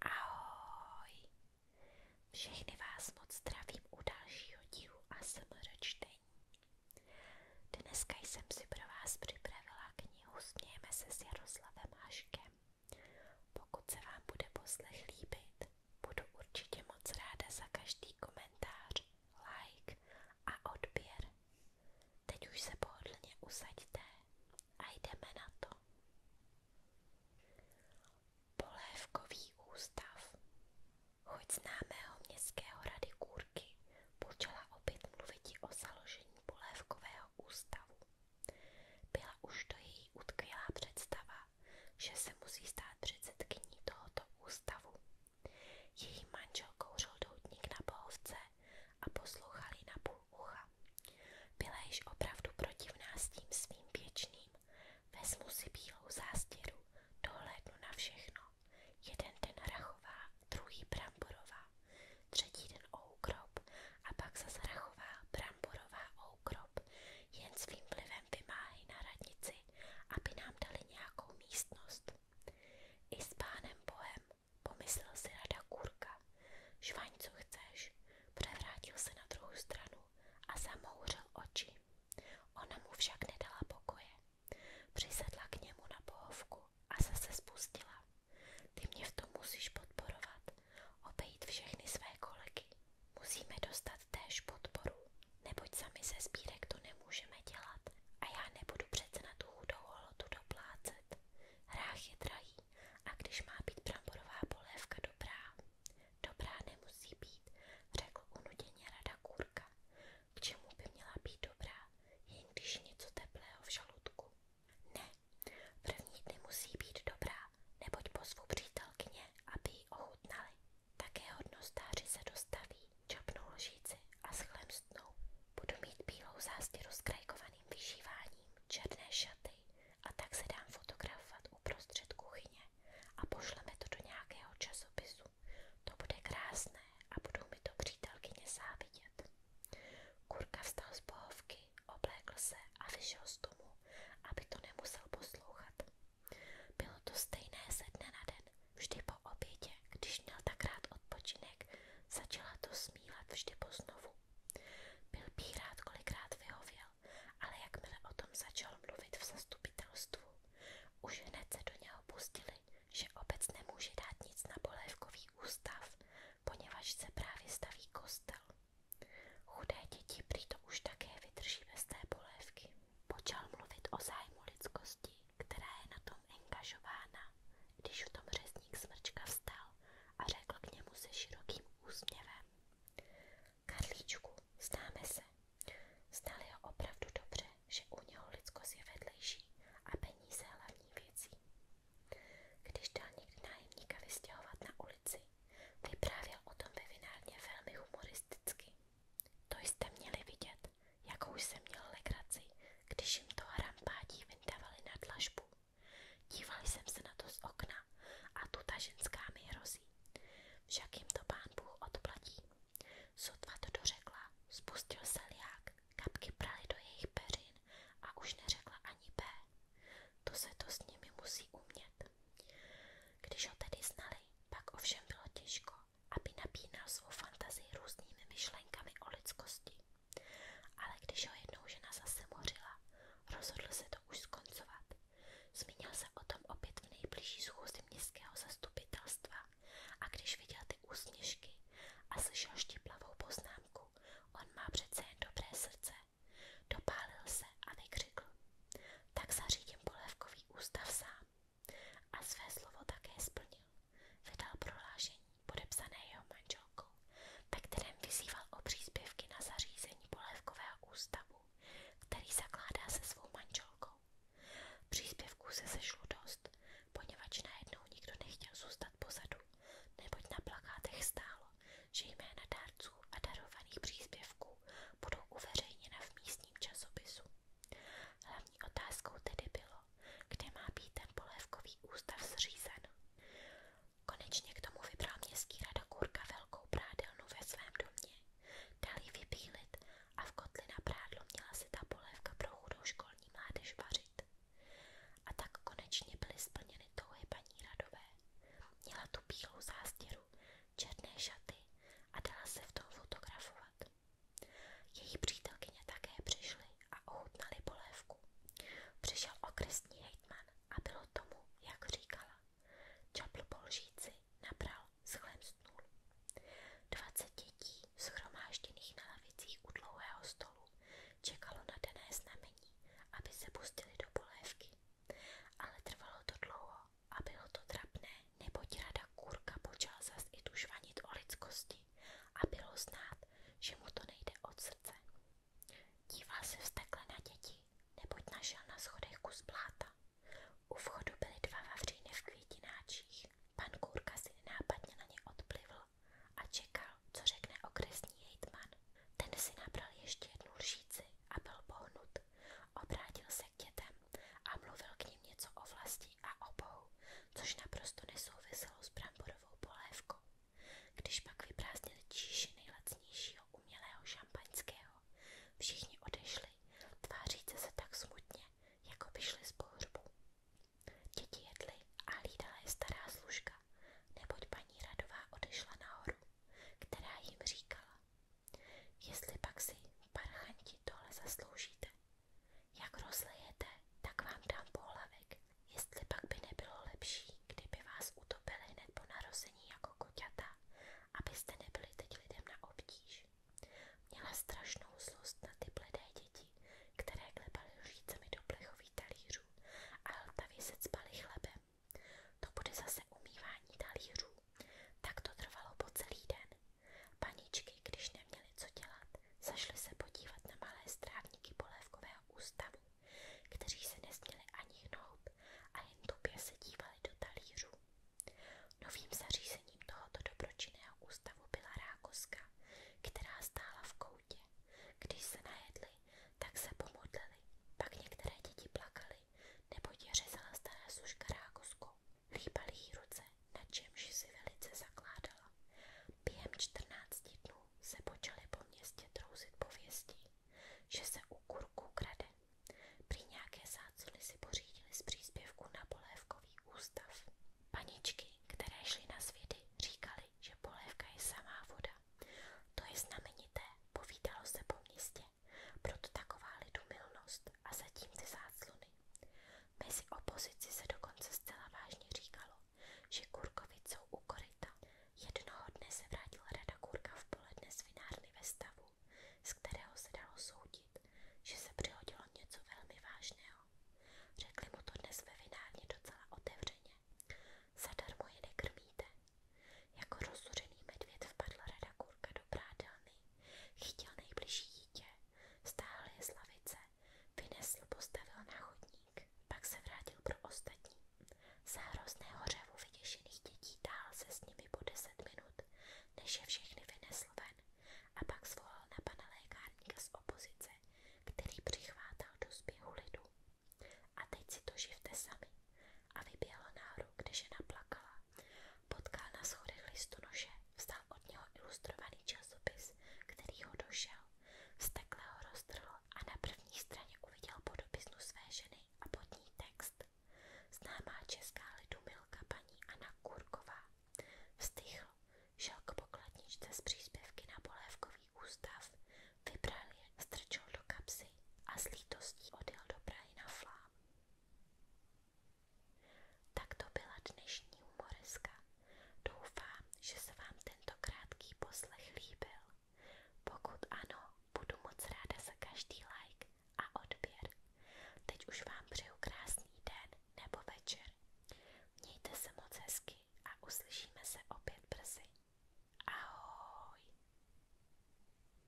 Ahoj! Všechny vás moc zdravím u dalšího dílu ASMR čtení. Dneska jsem si pro vás připravila knihu Smějeme se s Jaroslavem Haškem. Pokud se vám bude poslech líbit, budu určitě moc ráda za každý komentář, like a odběr. Teď už se pohodlně usaďte a jdeme na to. Polévkový ústav. Chuť známého městského rady Kůrky počala opět o založení polévkového ústavu. Byla už to její představa, že se musí stát předsedkyní tohoto ústavu. Její manžel kouřil doutník na bohovce a poslouchal ji na půl ucha. Byla již opravdu protivná s tím svým věčným. Vezmu si bílou zástěru, dohlédnu na všechno. Jeden den rachová, druhý bramborová, třetí den oukrop a pak zase rachová, bramborová, oukrop. Jen svým vlivem vymáhy na radnici, aby nám dali nějakou místnost. I s pánem Bohem Pomyslel si rada kurka. Žvaň, co chceš. Převrátil se na druhou stranu a zamouřil oči. Ona mu však nedala pokoje. Přisedla k němu na pohovku a zase spustila. Ty mě v tom musíš podporovat. Obejít všechny své kolegy. Musíme dostat též podporu, neboť sami ze sbírek to nemůžeme dělat a já nebudu přece na tu chudou holotu doplácet. Hrách je drahý lepší. A když má být bramborová polévka dobrá, dobrá nemusí být, řekl unuděně rada kůrka. K čemu by měla být dobrá, jen když něco teplého v žaludku? Ne, první dny musí být dobrá, neboť pozvu přítelkyně, aby ji ochutnali. Také hodnostáři se dostaví, čapnou lžíci a schlemstnou. Budu mít bílou zástěru s krajkovaným vyšíváním, černé šaty a tak se dám fotografovat uprostřed kuchyně a pošleme to do nějakého časopisu. To bude krásné a budou mi to přítelkyně závidět. Kurka vstal z pohovky, oblékl se a vyšel z domu, aby to nemusel poslouchat. Bylo to stejné ze dne na den, vždy po obědě, když měl tak rád odpočinek, Začala to smívat vždy poznovu. Byl by rád kolikrát vyhověl, ale jakmile o tom začal mluvit v zastupitelstvu, už hned se do něho pustili, že obec nemůže dát nic na polévkový ústav, poněvadž se právě staví kostel. Chudé děti prý to už také vydrží bez té polévky. Počal mluvit o zájmu lidskosti, která je na tom angažována, když u tom řezník smrčka vstal a řekl k němu se širokým úsměvem. Karlíčku, známe se. Znal ho opravdu dobře, že u něho lidskost je vedlejší a peníze hlavní věcí. Když dal někdy nájemníka vystěhovat na ulici, vyprávěl o tom ve vinárně velmi humoristicky. To jste měli vidět, jakou jsem měl legraci, když jim to rampádí vyndavali na dlažbu. Díval jsem se na to z okna a tu ta ženská mi hrozí. Však jim to pán Bůh odplatí. Sotva to dořekla, spustil se liák, kapky praly do jejich peřin a už neřekla ani B. To se to s nimi musí umět. Když ho tedy znali, pak ovšem bylo těžko, aby napínal svou fantazii různými myšlenkami o lidskosti. Ale když ho jednou žena zase mořila, rozhodl se to už skoncovat. Zmínil se o tom opět v nejbližší schůzi městského zastupitelstva a když viděl ty úsměšky a slyšel štiplavou poznámku, on má přece jen dobré srdce, dopálil se a vykřikl. Tak zařídím polévkový ústav sám a své slovo také splnil vydal prohlášení podepsané jeho manželkou, ve kterém vyzýval o příspěvky na zařízení polévkového ústavu, který zakládá se svou manželkou. Příspěvků se sešlo dost, poněvadž najednou nikdo nechtěl zůstat pozadu, neboť na plakátech stálo, že jména dárců a darovaných příspěvků budou uveřejněna v místním časopisu. Hlavní otázkou tedy bylo, kde má být ten polévkový ústav zřízen. Konečně k tomu vybral městský rada kurka velkou prádelnu ve svém domě, dal ji vypílit a v kotli na prádlo měla si ta polévka pro chudou školní mládež vařit. A tak konečně byly splněny touhy paní radové. Měla tu bílou zástěru, černé šaty a dala se v tom fotografovat. Její přítelkyně také přišly a ochutnali polévku. Přišel okresní hejtman a bylo tomu, jak říkala. Čapl polžíci nabral schlemstnul. Dvacet dětí, schromážděných na lavicích u dlouhého stolu, čekalo na dané znamení, aby se pustili do polévky. Ale trvalo to dlouho a bylo to trapné, neboť rada kurka počal zas i tušvanit o lidskosti a bylo znát, že mu to nejde od srdce. Díval se vztekle na děti, neboť našel na schodech kus bláta. U vchodu byly dva vavříny v květináčích. Pan Kůrka si nenápadně na ně odplivl a čekal, co řekne okresní hejtman. Ten si nabral ještě jednu lžíci a byl pohnut. Obrátil se k dětem a mluvil k ním něco o vlasti a obou, což naprosto nesouviselo s bramborovou polévkou. Když pak vyprázdnili číši nejlacnějšího umělého šampaňského, všichni odešli, tváříce se tak smutně, jako by šli z pohřbu. Děti jedly a hlídala je stará služka, neboť paní Radová odešla nahoru, která jim říkala, jestli pak si, parchanti, tohle zasloužíte, jak rozlejete, tak vám dám pohlavek, jestli pak by nebylo lepší, kdyby vás utopili hned po narození jako koťata, abyste nebyli teď lidem na obtíž. Měla strašnou zlost na ty bledé děti, které klepaly lžícemi do plechových talířů a hltavě se cpaly chlebem. To bude zase umývání talířů, tak to trvalo po celý den. Paničky, když neměly co dělat, zašly se podívat na malé strávníky polévkového ústavu, kteří se nesměli ani hnout a jen tupě se dívali do talířů. Novým zařízením tohoto dobročinného ústavu byla rákoska, která stála v koutě. Když se najedli, tak se pomodlili, pak některé děti plakaly, nebo je řezala stará suška rákoskou. Chýbaly ruce, na čemž si velice zakládala. Během 14 dnů se počaly po městě trouzit pověsti, že se u kurků krade. nějaké zácony si pořídili z příspěvku na polévkový ústav. Paničky, které šly na svědy, říkali, že polévka je samá voda. To je znamenité, povídalo se po městě proto taková lidumilnost a zatím ty záclony. Mezi opozici se dokonce zcela vážně říkalo, že Kurkovi jsou u koryta. Jednoho dne se vrátil Rada Kurka v poledne z vinárny ve stavu, z kterého se dalo soudit, že se přihodilo něco velmi vážného. Řekli mu to dnes ve vinárně docela otevřeně. Zadarmo je nekrmíte. Jako rozsuřený medvěd vpadl Rada Kurka do prádelny Chytil nejbližší dítě, stáhl je z lavice, vynesl, postavil na chodník, pak se vrátil pro ostatní. Za hrozného řevu vyděšených dětí dál se s nimi po deset minut, než je všechny vynesl ven a pak zvolal na pana lékárníka z opozice, který přichvátal do zběhu lidu. A teď si to živte sami. A vyběhl nahoru, kde žena plakala Potkal na schodech listonoše, vstal od něho ilustrovaný časopis, který ho došel, vztekle ho roztrhl a na první straně uviděl podobiznu své ženy a pod ní text. Známá česká lidumilka paní Anna Kurková. Vstyhl, šel k pokladničce z příspěvky na polévkový ústav, vybral je, strčil do kapsy a s lítostí odjel do Prahy na flám. Tak to byla dnešní humoreska. Doufám, že se vám tento krátký poslech líbil. Pokud ano, budu moc ráda za každý like a odběr. Teď už vám přeju krásný den nebo večer. Mějte se moc hezky a uslyšíme se opět brzy. Ahoj!